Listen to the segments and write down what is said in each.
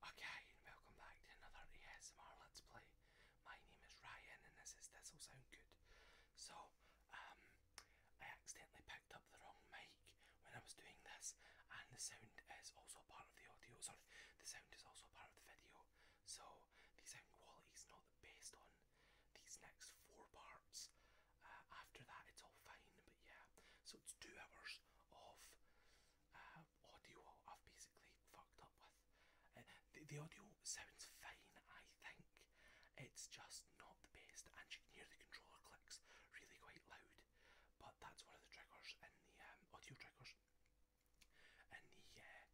Okay, and welcome back to another ASMR Let's Play. My name is Ryan and this is This'll Sound Good. So, um, I accidentally picked up the wrong mic when I was doing this and the sound is also part of the audio, sorry, the sound is also part of the video. So, the sound quality is not the best on these next four parts. Uh, after that it's all fine, but yeah. So it's two hours of uh, audio I've basically fucked up with. Uh, the, the audio sounds fine, I think. It's just not the best, and you can hear the controller clicks really quite loud. But that's one of the triggers and the um, audio triggers in the uh,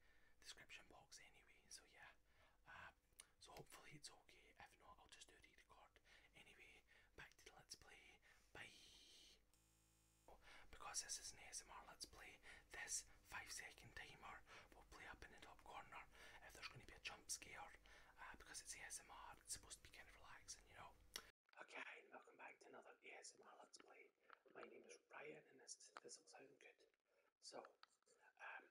description box, anyway. So yeah, uh, so hopefully it's okay. If not, I'll just do re-record. Anyway, back to the let's play. Bye. Because this is an ASMR Let's Play, this 5 second timer will play up in the top corner if there's going to be a jump scare. Uh, because it's ASMR, it's supposed to be kind of relaxing, you know. Okay, welcome back to another ASMR Let's Play. My name is Ryan and this is This'll Sound Good. So, um,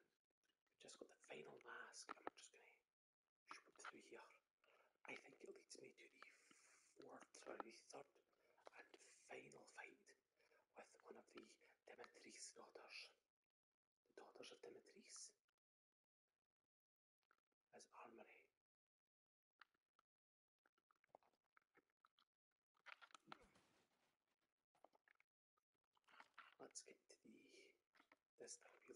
just got the final mask and we just going to should through here. I think it leads me to the fourth, sorry, the third and final fight with one of the Demetrius daughters. The daughters of Demetrius, As armory. Let's get the this now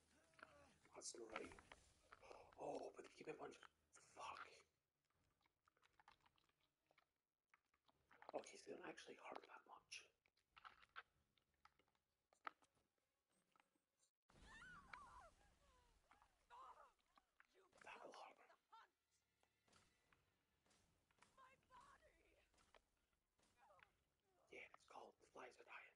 That's right. Oh, but they keep a bunch of... Fuck. Okay, so they don't actually hurt that much. That'll Yeah, it's called Flies Are Dying.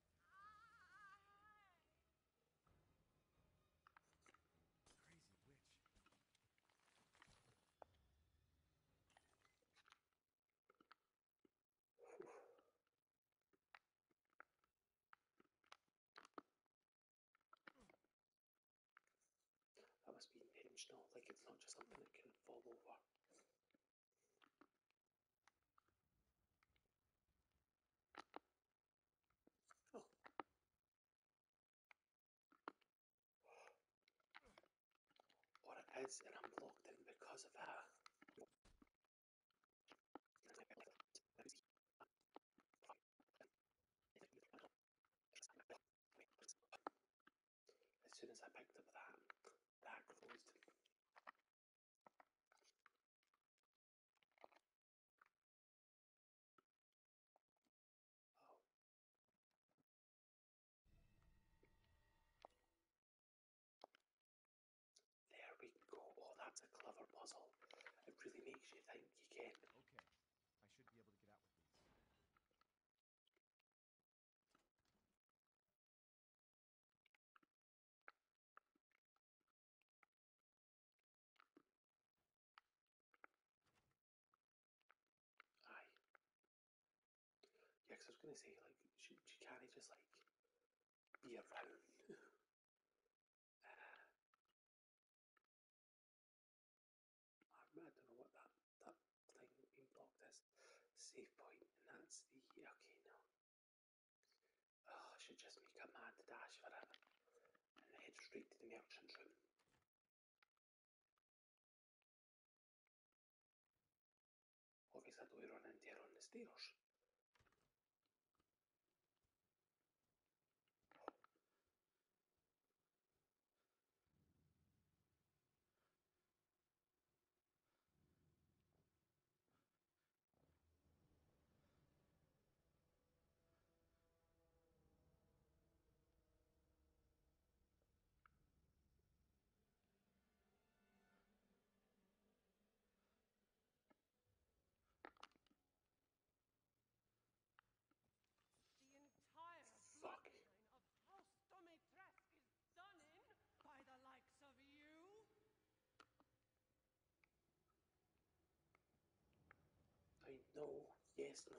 Crazy witch. That must be intentional, like it's not just something that can fall over. Oh. What else? And I'm locked in because of that. As soon as I picked up that, that closed. Oh. There we go. Oh, that's a clever puzzle. It really makes you think you can. Okay, I should be able to get out with these. Aye. Yeah, I was going to say, like, she, she can't just, like, be around. I don't know what that, that thing being blocked is. Save point, and that's the. Okay, no. Oh, še should just make a mad dash for it and head straight to the merchant's room. run The entire bloodline of House Domitresk is done in by the likes of you? I know, yes, no.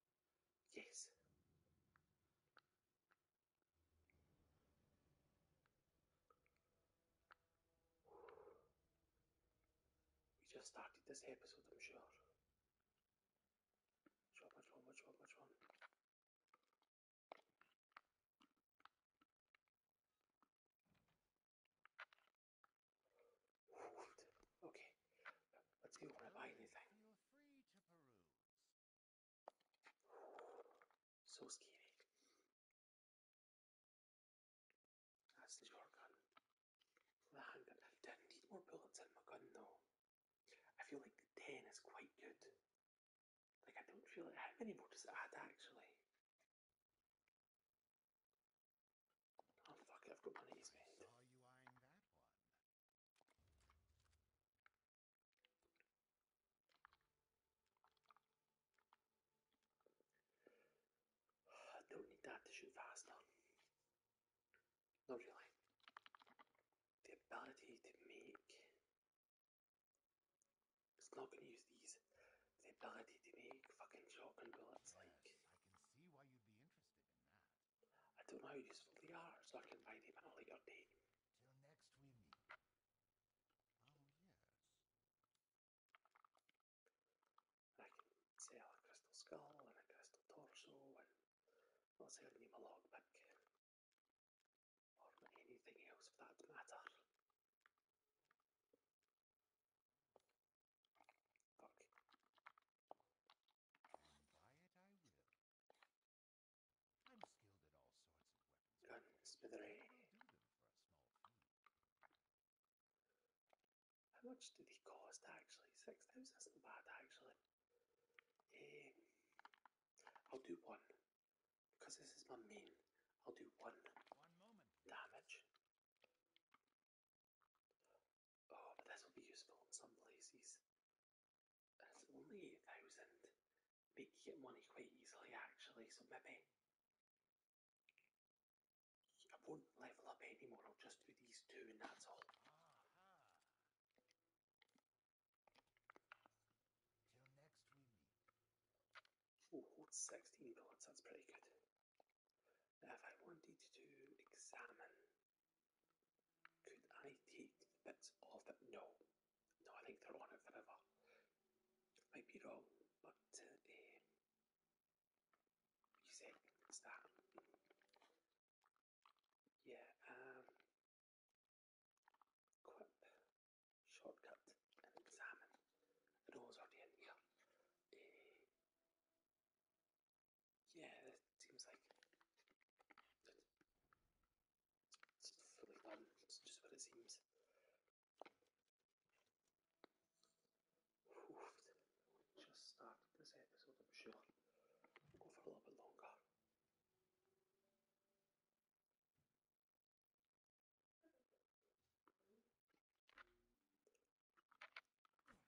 Yes. We just started this episode, I'm sure. Which Okay, let's see if I buy anything. So scary. That's the your I need more bullets in my gun though. I feel like 10 is quite good. Like I don't feel like how many more does add actually? Oh fuck it, I've got money to spend. I don't need that to shoot faster. Not really. The ability to make. It's not going to use these. The ability to make fucking shotgun bullets, you I don't know how useful they are, so I can buy them at a later date. Till next we meet. Oh, yes. I can sell a crystal skull and a crystal torso and I'll sell them a lockpick. Or anything else for that matter. buy it I will. How much did he cost actually? Six thousand isn't bad actually. Um, I'll do one because this is my main. I'll do one, damage. Oh, but this will be useful in some places. it's only 8,000. Make you get money quite easily actually, so maybe I won't level up anymore, I'll just do these two and that's all. Oh, hold 16 bullets, that's pretty good. if I wanted to examine could I take bits of it? No. No, I think they're on it forever. Might be wrong, but uh, eh. you Yeah, um, shortcut, and examine. The door's already here. Eh. Yeah, that seems like it's fully done. It's just what it seems. Just started this episode, I'm sure. go for a little bit longer.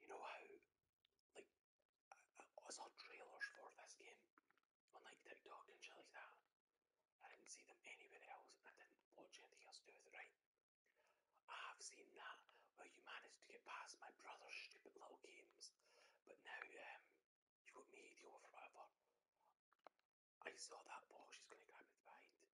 You know how, like, I, I saw trailers for this game on like TikTok and shit like that. I didn't see them anywhere else, and I didn't watch anything else to do with it, right? I have seen that where you managed to get past my brother's stupid little games, but now um, you got me deal with whatever. I saw that box she's gonna grab me behind.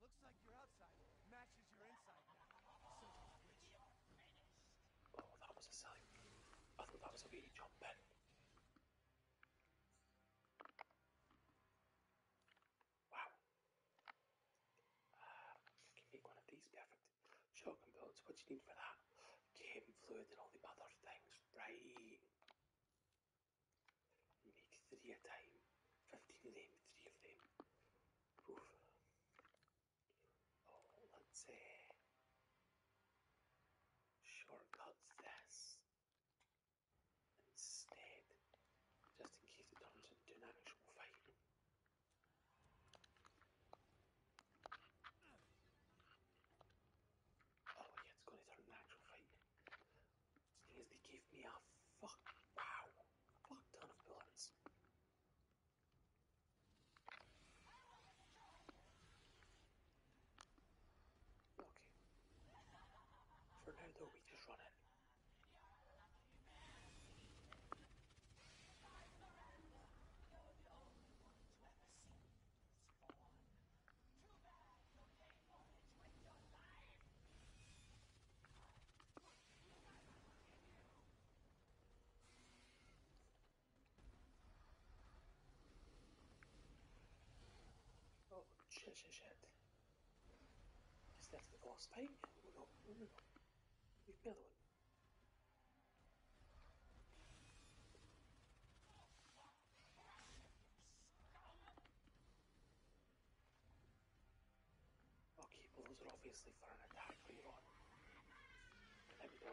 Looks like your outside matches your inside Oh, that was a silent. I thought that was a wee jump in. Wow. Uh, I one of these perfect. Shotgun bullets, what do you need for that? Game fluid and all the other things. Right. Make three a time. Fifteen of them, three of them. Oh, let's uh, shortcut this instead, just in case it turns into an actual fight. Oh yeah, it's going to turn an actual fight. Because they gave me a fuck, wow, fuck ton of bullets. Okay. For now though, we just run in. Oh, shit, shit, shit. Just left the boss paint. Oh, no, oh, no. Leave the other one. Okay, blows are obviously for an attack later on. There we go.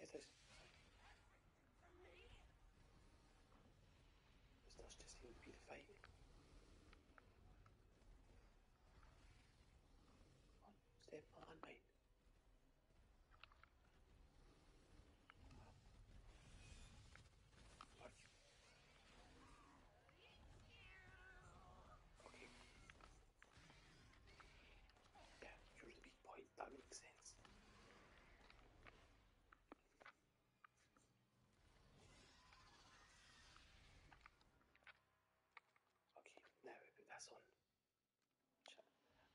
Get it? This does just seem to be the fate. Come on, stay behind me. Okay. Yeah, you're the big boy, that makes sense. Okay, now we put this on.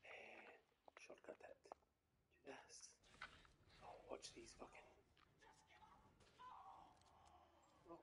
Uh, shortcut it. Do Oh, watch these fucking. Oh.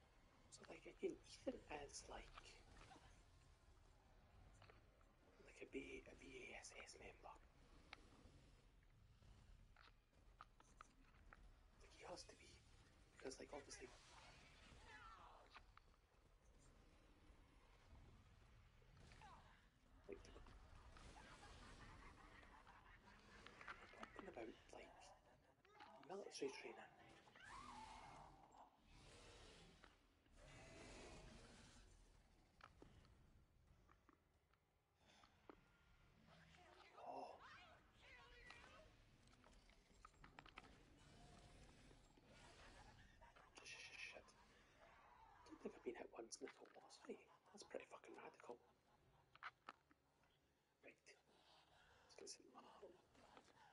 So like I can even as like like a B a BASS member. he has to be because like obviously talking about like military training. Oh. Shit. don't think I've been hit once in the total that's pretty fucking radical. Let's get some.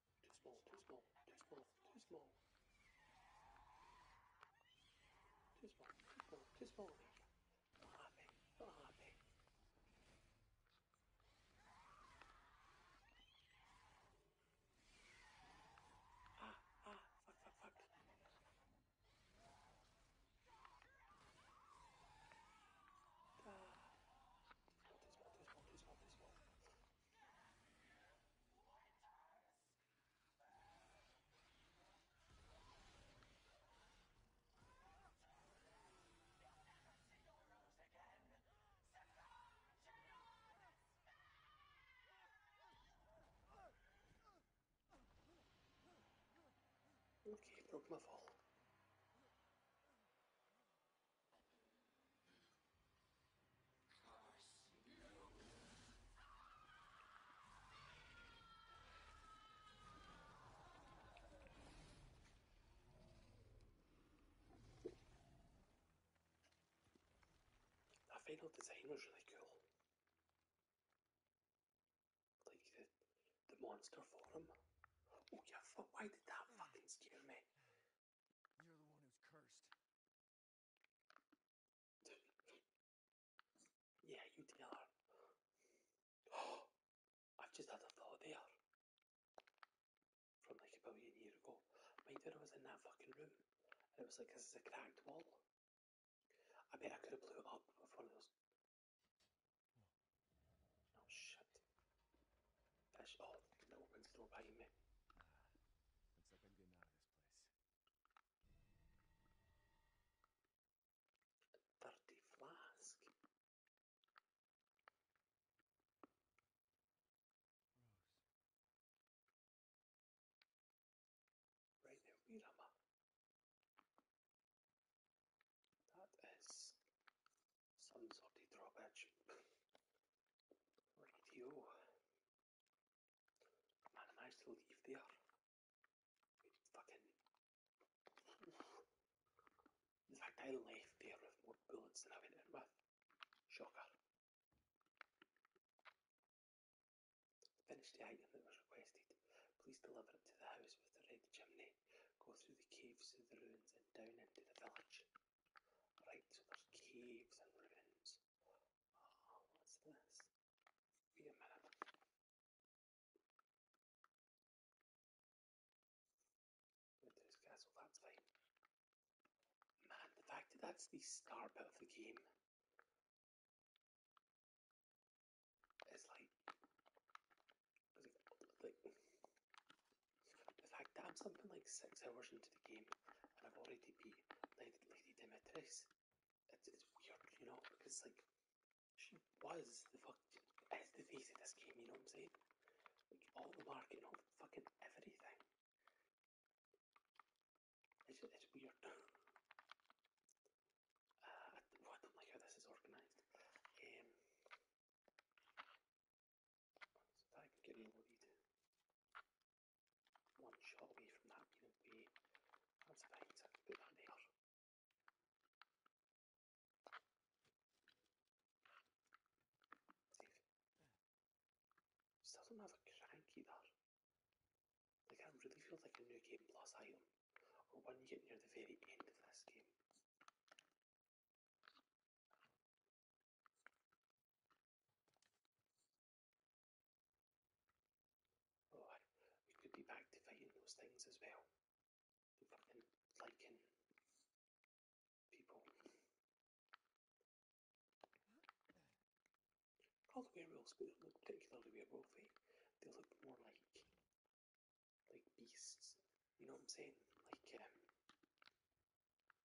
Too small, too small, too small, too small. Too small, too small, too small. Not happy, not happy. Ah, ah, fuck, fuck, fuck. Ah. Too small, too small, too small, too small. Okay, broke my fall. Curse That final design was really cool. Like the, the monster for him. Oh yeah, fuck, why did that fucking scare me? You're the one who's cursed. Yeah, you tell Oh, I've just had a thought there. From like a billion years ago. Mind when I was in that fucking room and it was like, this cracked wall. I bet I could have blew it up with one of those. Hmm. Oh shit. That's oh, that woman's still biting me. Uh, like I'm getting out of this place. Thirty flask. Right now, where am That is some sort of drawbridge. Radio. managed to leave there. Fucking. In fact, I left there with more bullets than I went in with. Shocker. Finish the item that was requested. Please deliver it to the house with the red chimney. Go through the caves, through the ruins, and down into the village. Right, so there's caves and ruins. Oh, what's this? Wait a minute. Went to his castle, that's fine. Man, the fact that that's the start of the game is like, like in fact, I'm something like six hours into the game and I've already beat Lady, Lady Demetrius. It's, weird, you know, because like she was the fuck is the face of this game, you know what I'm saying? all the marketing, fucking everything. It's weird. uh, I, don't like how this is organised. Um, So that I can get loaded. One shot away from that being away. That's fine, so I can put that there. Still don't have a crank either. Like that really feels like a new game plus item. Or one you get near the very end of this game. But we could be back to fighting those things as well. To fucking liking people. All the werewolves, but they look particularly werewolfy. They look more like like beasts. You know what I'm saying? Like um,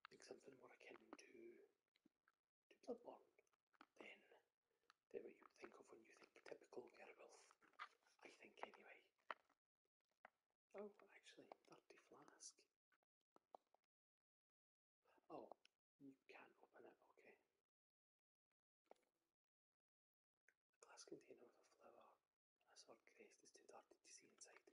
Think something more akin to to Bloodborne, than then what you think of when you think typical werewolf. I think anyway. Oh, actually, dirty flask. Oh, you can't open it, okay. A glass container with a flower and a sword crest is too dirty to see inside.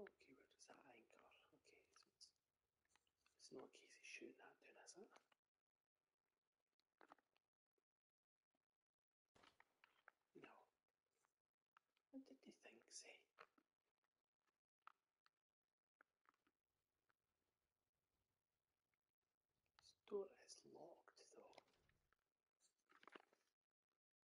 Okay, where does that anchor? Okay, it's, not a case of shooting that down, it? No. What did you think, say? This door is locked though.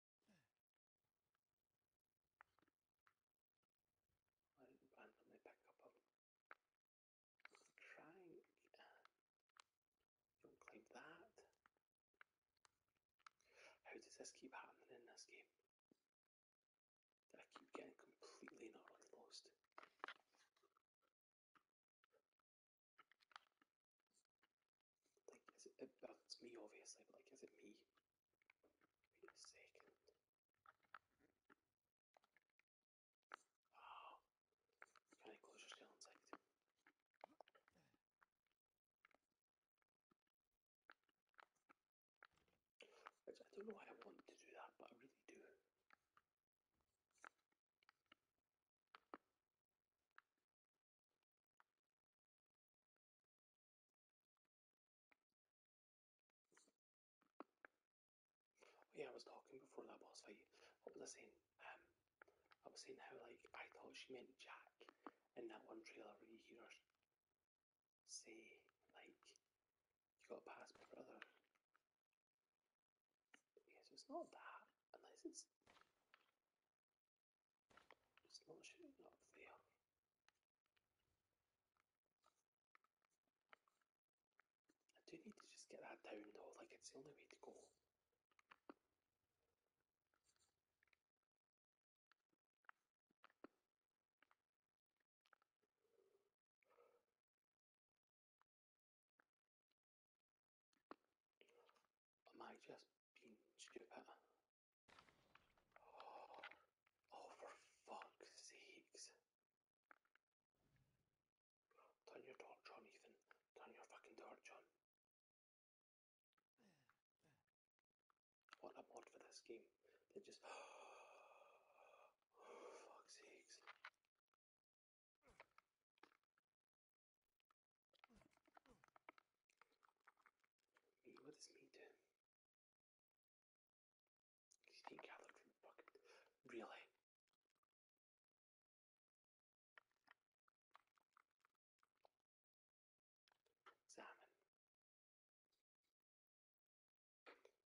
I'll randomly pick up a crank. Don't climb that. How does this keep happening in this game? I keep getting completely utterly lost. Like, is it, it oh, me obviously, but like, is it me? Wait a second. can ah. I close your scale inside? I don't know why I want to do that, but I really do. Yeah, I was talking before that boss fight. What was I saying? Um, I was saying how like I thought she meant Jack in that one trailer where you hear her say like you got past my brother. Yes, it's not that unless it's I do need to just get that down though, like it's the only way to go. I just Pinch oh, oh, for fuck's sakes. Turn your torch on, Turn your fucking torch John. What a mod for this game. They just. Meat, what is meat? She gathered from the bucket. Really? Salmon.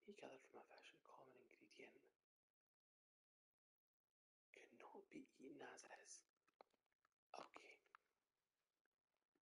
He gathered from a fish, common ingredient. Could be eaten as is. Okay.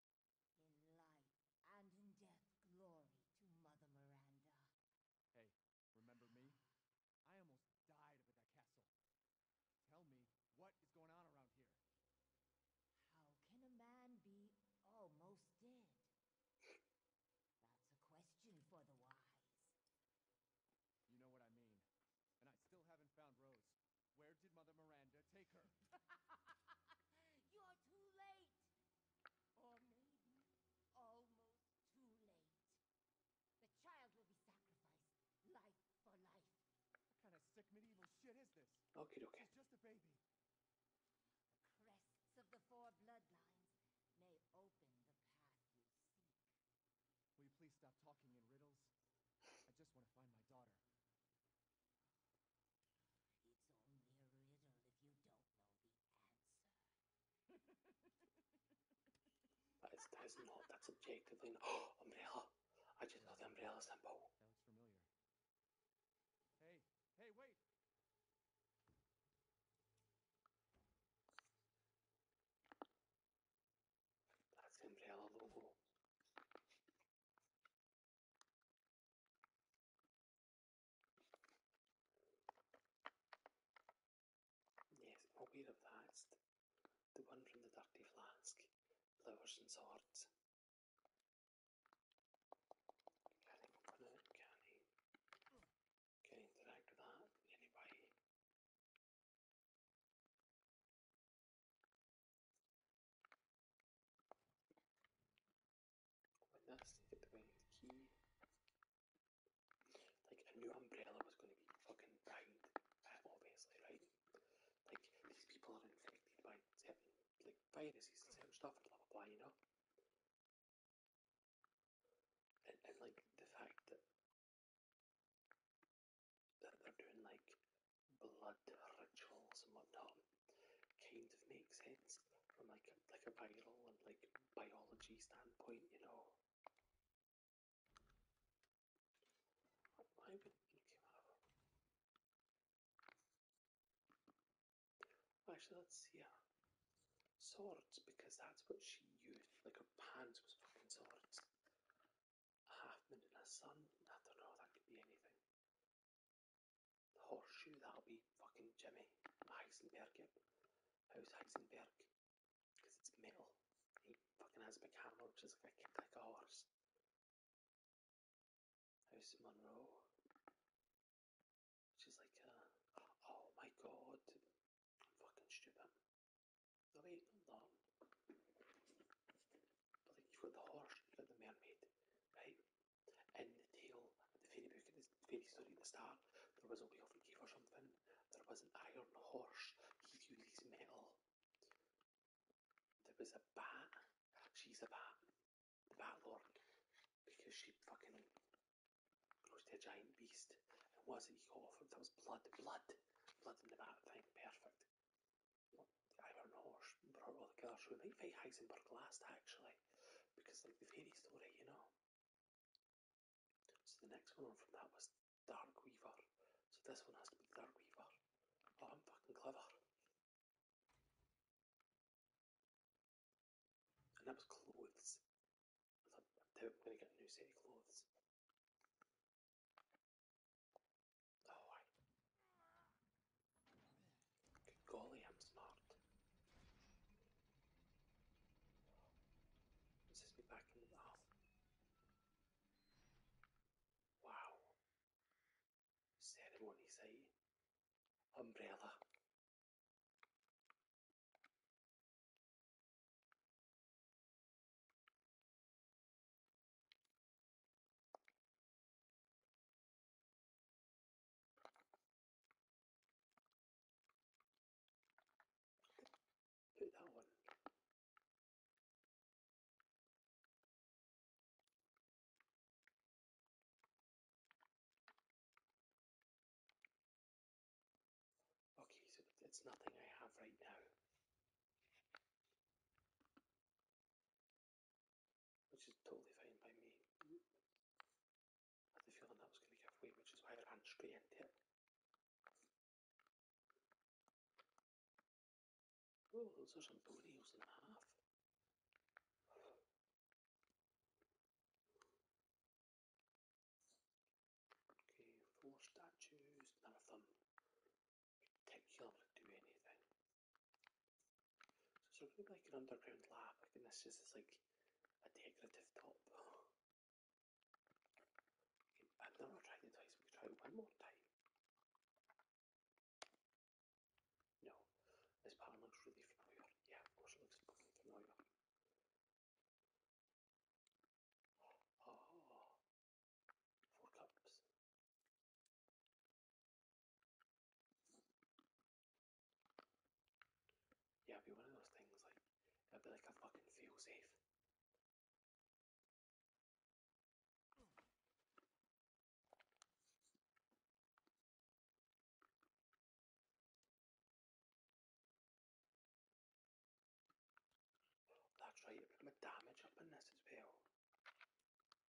In life and in death, glory to Mother Miranda. Hey, remember me? I almost died at that castle. Tell me, what is going on around here? How can a man be almost dead? That's a question for the wise. You know what I mean. And I still haven't found Rose. Where did Mother Miranda take her? You're too late. Or maybe almost too late. The child will be sacrificed, life for life. What kind of sick medieval shit is this? Okay, okay. It's just a baby. The crests of the four bloodlines may open the path you seek. Will you please stop talking in riddles? I just want to find my daughter. It's only a riddle if you don't know the answer. that is that is not that's objectively not umbrella. I just know the umbrella symbol. That looks familiar. Hey, hey, wait! That's umbrella logo. Yes, aware of that, the one from the dirty flask, flowers and swords. Can open it? Can I? Can I interact with that in Open this, get the right Like, a new umbrella was going to be fucking banged, uh, obviously, right? Like, these people are infected by like, viruses and stuff and blah blah blah, you know? and like, the fact that that they're doing like blood rituals and whatnot kind of makes sense from like a, like a viral and like biology standpoint, you know. Actually, let's see. Yeah. Swords, because that's what she used. Like her pants was fucking swords. A half moon and a sun. I don't know. That could be anything. The oh, horseshoe, that'll be fucking Jimmy Heisenberg, yep. How's Heisenberg? Because it's metal. He fucking has a big hammer, which is like a, horse. How's Monroe? Which like Oh my god! I'm fucking stupid. No, wait, hold on. But you've got the horse, you've got the mermaid, right? in the tale at the very beginning, the very story at the start, there was a werewolf cave or something. There was an iron horse. He used his metal. There was a bat. She's a bat. The bat lord. Because she fucking to a giant beast. And was it he got off him? There was blood. Blood. Blood in the bat thing. Perfect. Iron Horse brought all the killers who might fight Heisenberg last, actually, because like the fairy story, you know. So the next one from that was Dark Weaver. So this one has to be Dark Weaver. Oh, I'm fucking clever. And that was clothes. I doubt I'm going to get a new set of clothes. Oh, Good goalie, I'm smart. This is me back in the mouth. Wow. Ceremony site. Umbrella. Hit that one. Okay, so it's nothing I have right now which is totally fine by me. had the feeling that was going to give way, which is why I ran straight into it. Oh, those are some toenails and half. Okay, four statues, none of them particularly do anything. So it's really like an underground lab, like, and this just is like a decorative top. I've never tried it twice, we try it one more time. No, this pattern looks really familiar. Yeah, of course it looks familiar. Oh, four cups. Yeah, it be one of those things like it'd be like a fucking feel safe. That's right, a bit of damage up in this as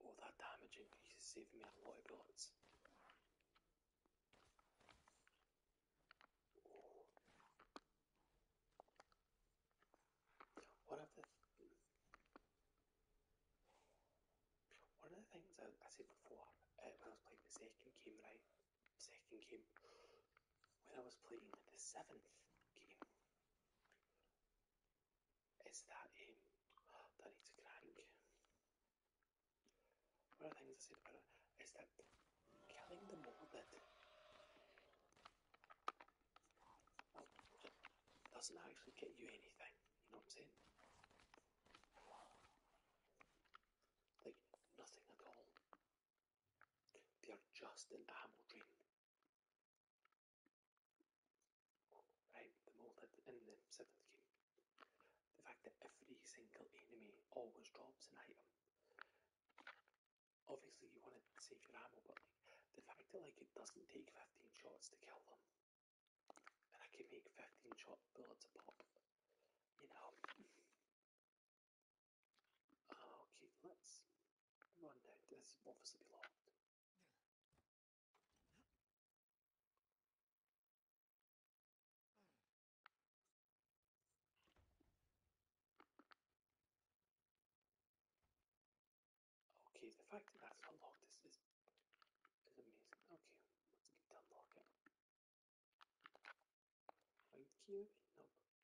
All that damage and he's saving me a lot of bullets. Oh. One of the th one of the things I, I said before uh, when I was playing the second game, right? Second game, when I was playing the seventh game is that um, that I One of the things I said about it is that killing the molded doesn't actually get you anything, you know what I'm saying? Like, nothing at all. They are just an ammo drain Right, the molded in the seventh game. The fact that every single enemy always drops an item. Obviously you want to save your ammo, but like the fact that like it doesn't take 15 shots to kill them. And I can make 15 shot bullets a pop. You know. Okay, let's go on down. This is obviously be locked. Okay, the fact that that's locked is, is, is amazing. Okay, let's get to unlock it. Right key, nope.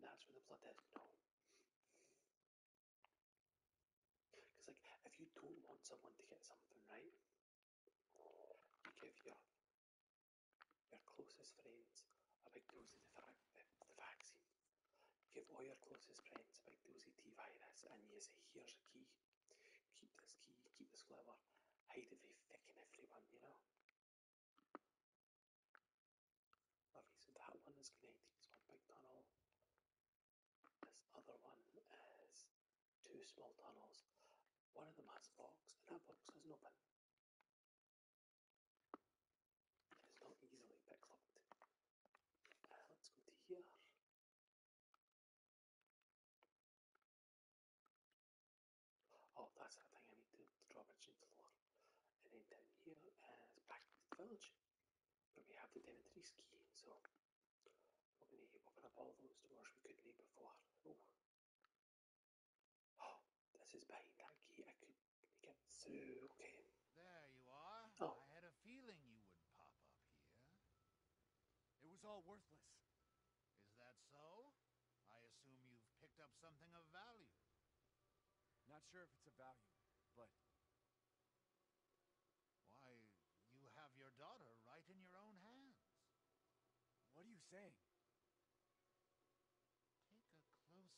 That's where the bloodhead, no. Because, like, if you don't want someone to get something right, you give your, your closest friends a big dose of the, the, the vaccine. You give all your closest friends a big dose of T virus, and you say, here's a key. Keep this key, keep this whatever. Hide it from fucking everyone, you know? Okay, that one is connected as one big tunnel. This other one is two small tunnels. One of them has a box, and that box isn't open. It's not easily picklocked. Uh, let's go to here. Oh, that's the thing I need to, to draw bridge into floor. And then down here is Blackwood Village, where we have the Devontree ski. So we're to open up all those doors we couldn't before. Oh. oh, this is behind that key. I could get through. Okay. There you are. Oh. I had a feeling you would pop up here. It was all worthless. Is that so? I assume you've picked up something of value. Not sure if it's a value, but... Why, you have your daughter right in your own hands. What are you saying? Take a closer look.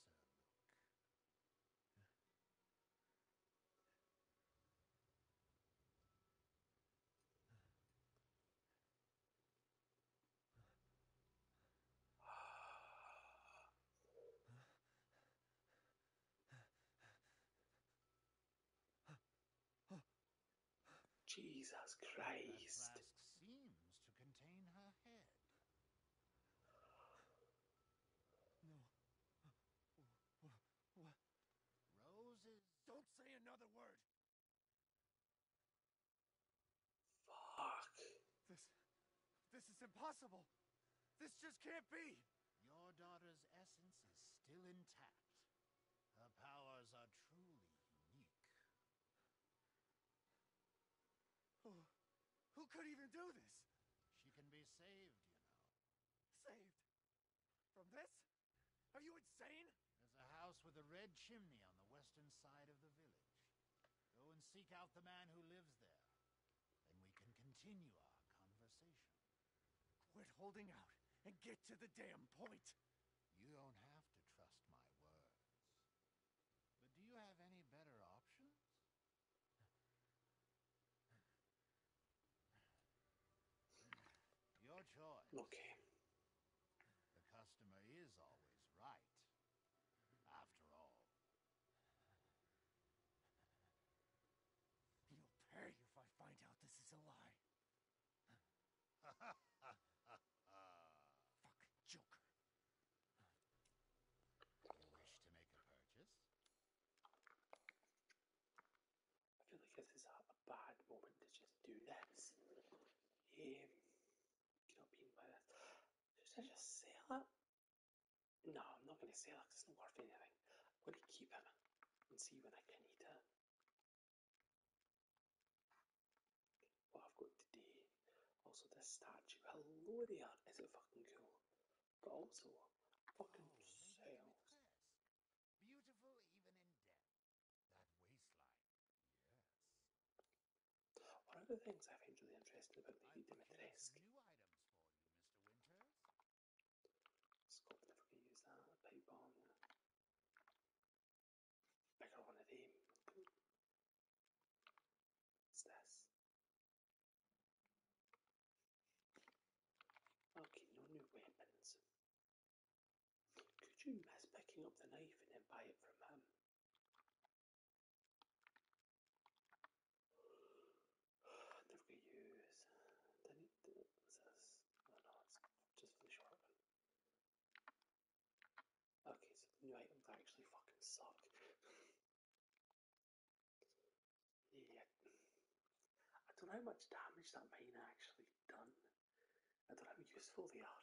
Jesus Christ. No. What? Roses. Don't say another word. Fuck. This. This is impossible. This just can't be. Your daughter's essence is still intact. Her powers are truly unique. Who, who could even do this? She can be saved, you know. Saved? From this? Are you insane? There's a house with a red chimney on the western side of the village. Go and seek out the man who lives there. Then we can continue our conversation. Quit holding out and get to the damn point! You don't have to trust my words. But do you have any better options? Your choice. Okay. The customer is always right, after all. You'll pay if I find out this is a lie. Fucking joker. You wish to make a purchase? I feel like this is a bad moment to just do this. Um, you know, being my should I just sell it? No, I'm not going to sell it it's not worth anything. I'm going to keep it and see when I can eat it. What I've got today. Also, this statue. Hello there. Is it fucking cool? also, fucking oh, sales. Beautiful even in death. That waistline. Yes. One of the things I find really interesting about Lady Dimitrescu. Scope never going use that, a pipe bomb. one of them. What's this? Okay, no new weapons. Could you mess picking up the knife and then buy it from him? And use, then it says, oh no, it's just for the short one. Okay, so the new items actually fucking suck. yeah. I don't know how much damage that mine actually done. I don't know how useful they are.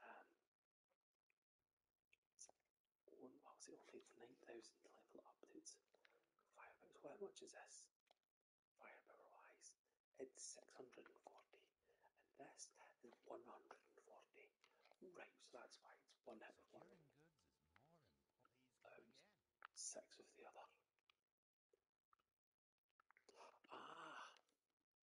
Um, what was it? Only it's 9,000 level updates. Firepower, how much is this? Firepower wise, it's 640, and this is 140. Right, so that's why it's one hit of one. Um, six the other. Ah!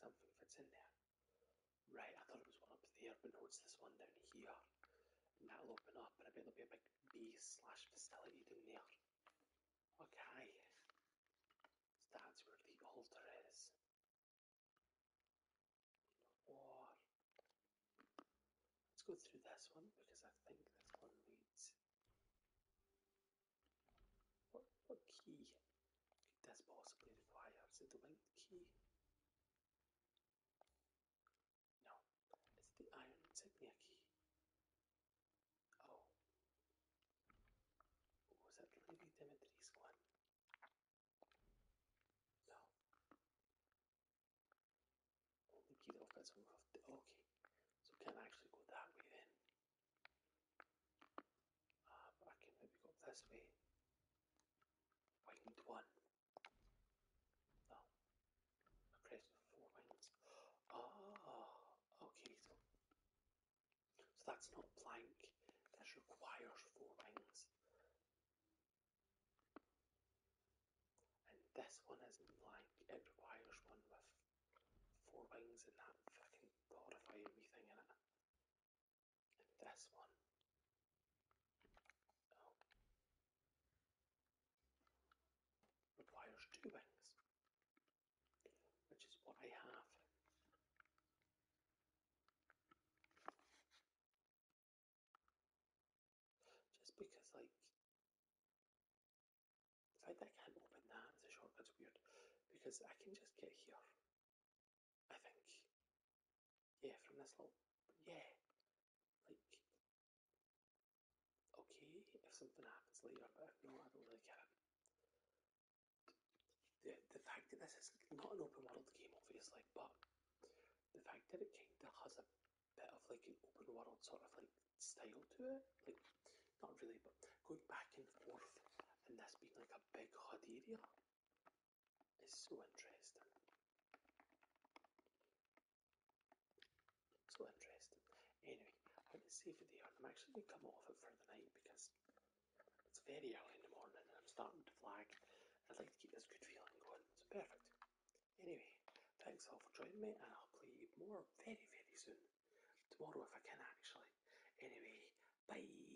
Something fits in there. Right, I thought it was one up there, but no, it's this one down here. And that'll open up, and I bet there'll be a big base slash facility down there. Okay. that's where the altar is. let's go through this one because I think this one needs. What that's possibly the fire. Is it the wind key? No. It's the iron insignia key. Oh. Was that Lady Dimitri's one? No. Only key that opens from the okay. So can I actually go that way then? I can maybe go this way. I need one. No. A crest four mines. Oh, ah, okay, so, that's not blank. This requires four mines. And this one isn't blank. It requires one with four wings and that fucking horrifying thing in it. And that's one. Oh. Requires two wings, which is what I have. Just because, like, the fact that I can't open that is a shortcut's weird because I can just get here I think. Yeah, from this little, yeah, like, okay, if something happens later, but if I don't really care. The, the fact that this is not an open world game, obviously, but the fact that it kind of has a bit of like an open world sort of like style to it, like, not really, but going back and forth and this being like a big HUD area, is so interesting. So interesting. Anyway, I'm going to save it there. I'm actually going to come off it for the night because it's very early in the morning and I'm starting to flag. I'd like to keep this good feeling going. It's perfect. Anyway, thanks all for joining me and I'll play more very, very soon. Tomorrow if I can actually. Anyway, bye.